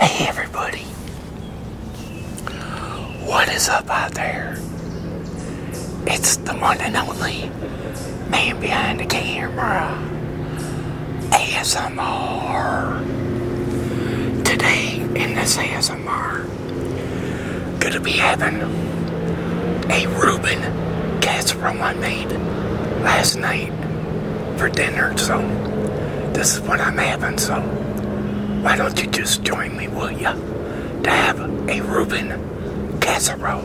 Hey everybody, what is up out there? It's the one and only man behind the camera, ASMR. Today in this ASMR, gonna be having a Reuben casserole I made last night for dinner, so this is what I'm having, so why don't you just join me, will ya, to have a Reuben casserole.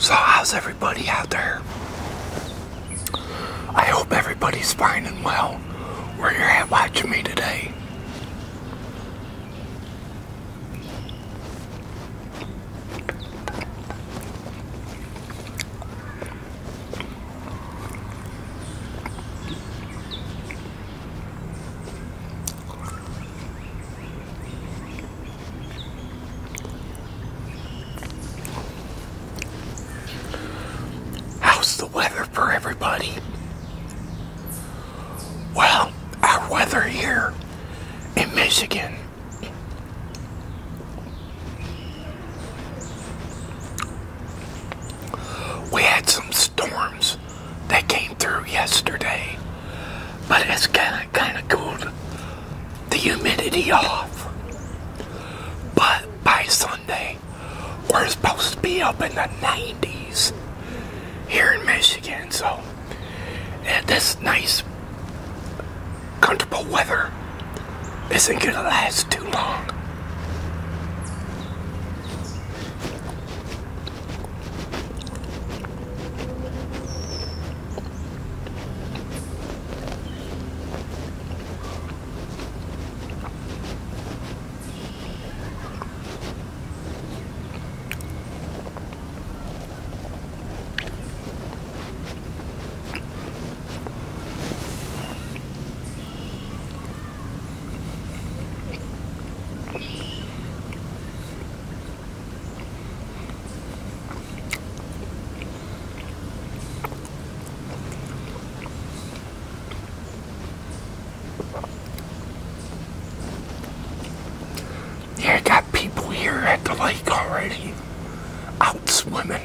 So how's everybody out there? I hope everybody's fine and well where you're at watching me today. How's the weather for everybody? Well, our weather here in Michigan we had some storms that came through yesterday, but it's kind of kind of cooled the humidity off. But by Sunday, we're supposed to be up in the 90s here in Michigan, so and nice comfortable weather isn't going to last too long. Here, guys people here at the lake already out swimming.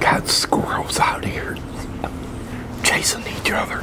Got squirrels out here chasing each other.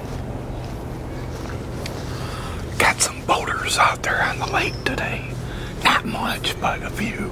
Got some boaters out there on the lake today. Not much, but a few.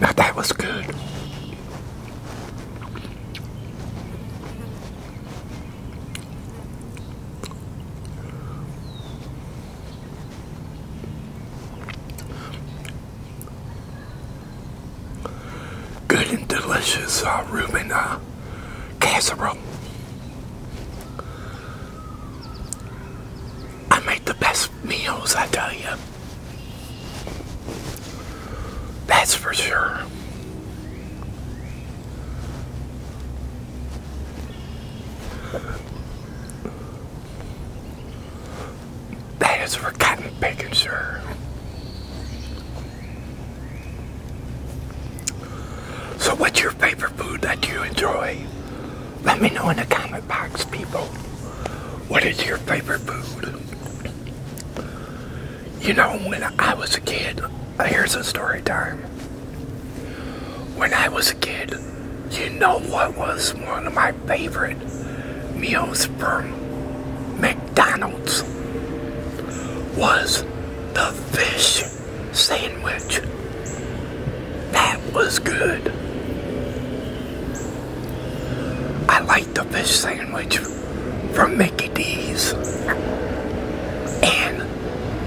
Now that was good. Good and delicious uh, Reuben uh, casserole. I make the best meals, I tell you. That's for sure. That is for cotton bacon, sir. So what's your favorite food that you enjoy? Let me know in the comment box, people. What is your favorite food? You know, when I was a kid, here's a story time. When I was a kid, you know what was one of my favorite meals from McDonald's? Was the fish sandwich. That was good. I like the fish sandwich from Mickey D's. And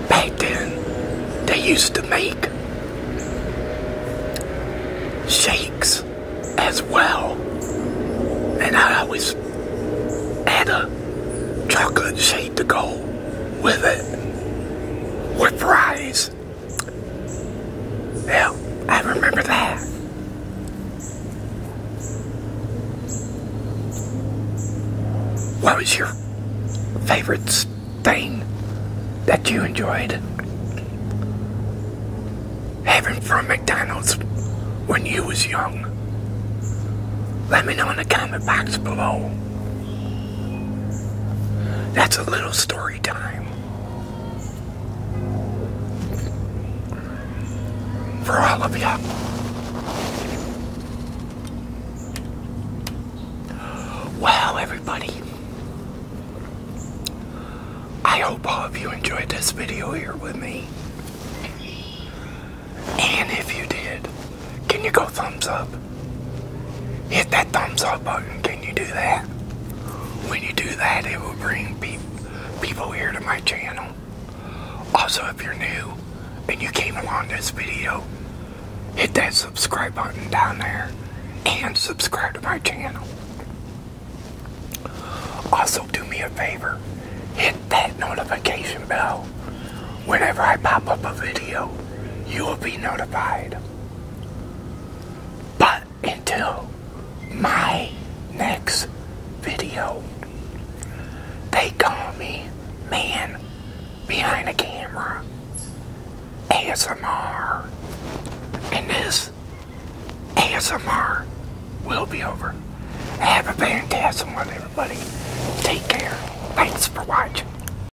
back then, they used to make shakes as well. And I always had a chocolate shake to go with it, with fries. Yeah, I remember that. What was your favorite stain that you enjoyed having from McDonald's when you was young? Let me know in the comment box below. That's a little story time. For all of you. Well, everybody. I hope all of you enjoyed this video here with me. And if you did, can you go thumbs up? Hit that thumbs up button. Can you do that? When you do that, it will bring pe people here to my channel. Also, if you're new and you came along this video, hit that subscribe button down there and subscribe to my channel. Also, do me a favor, hit that notification bell. Whenever I pop up a video, you will be notified. But until my next video, they call me Man Behind the Camera ASMR. And this ASMR will be over. Have a fantastic one, everybody. Take care. Thanks for watching.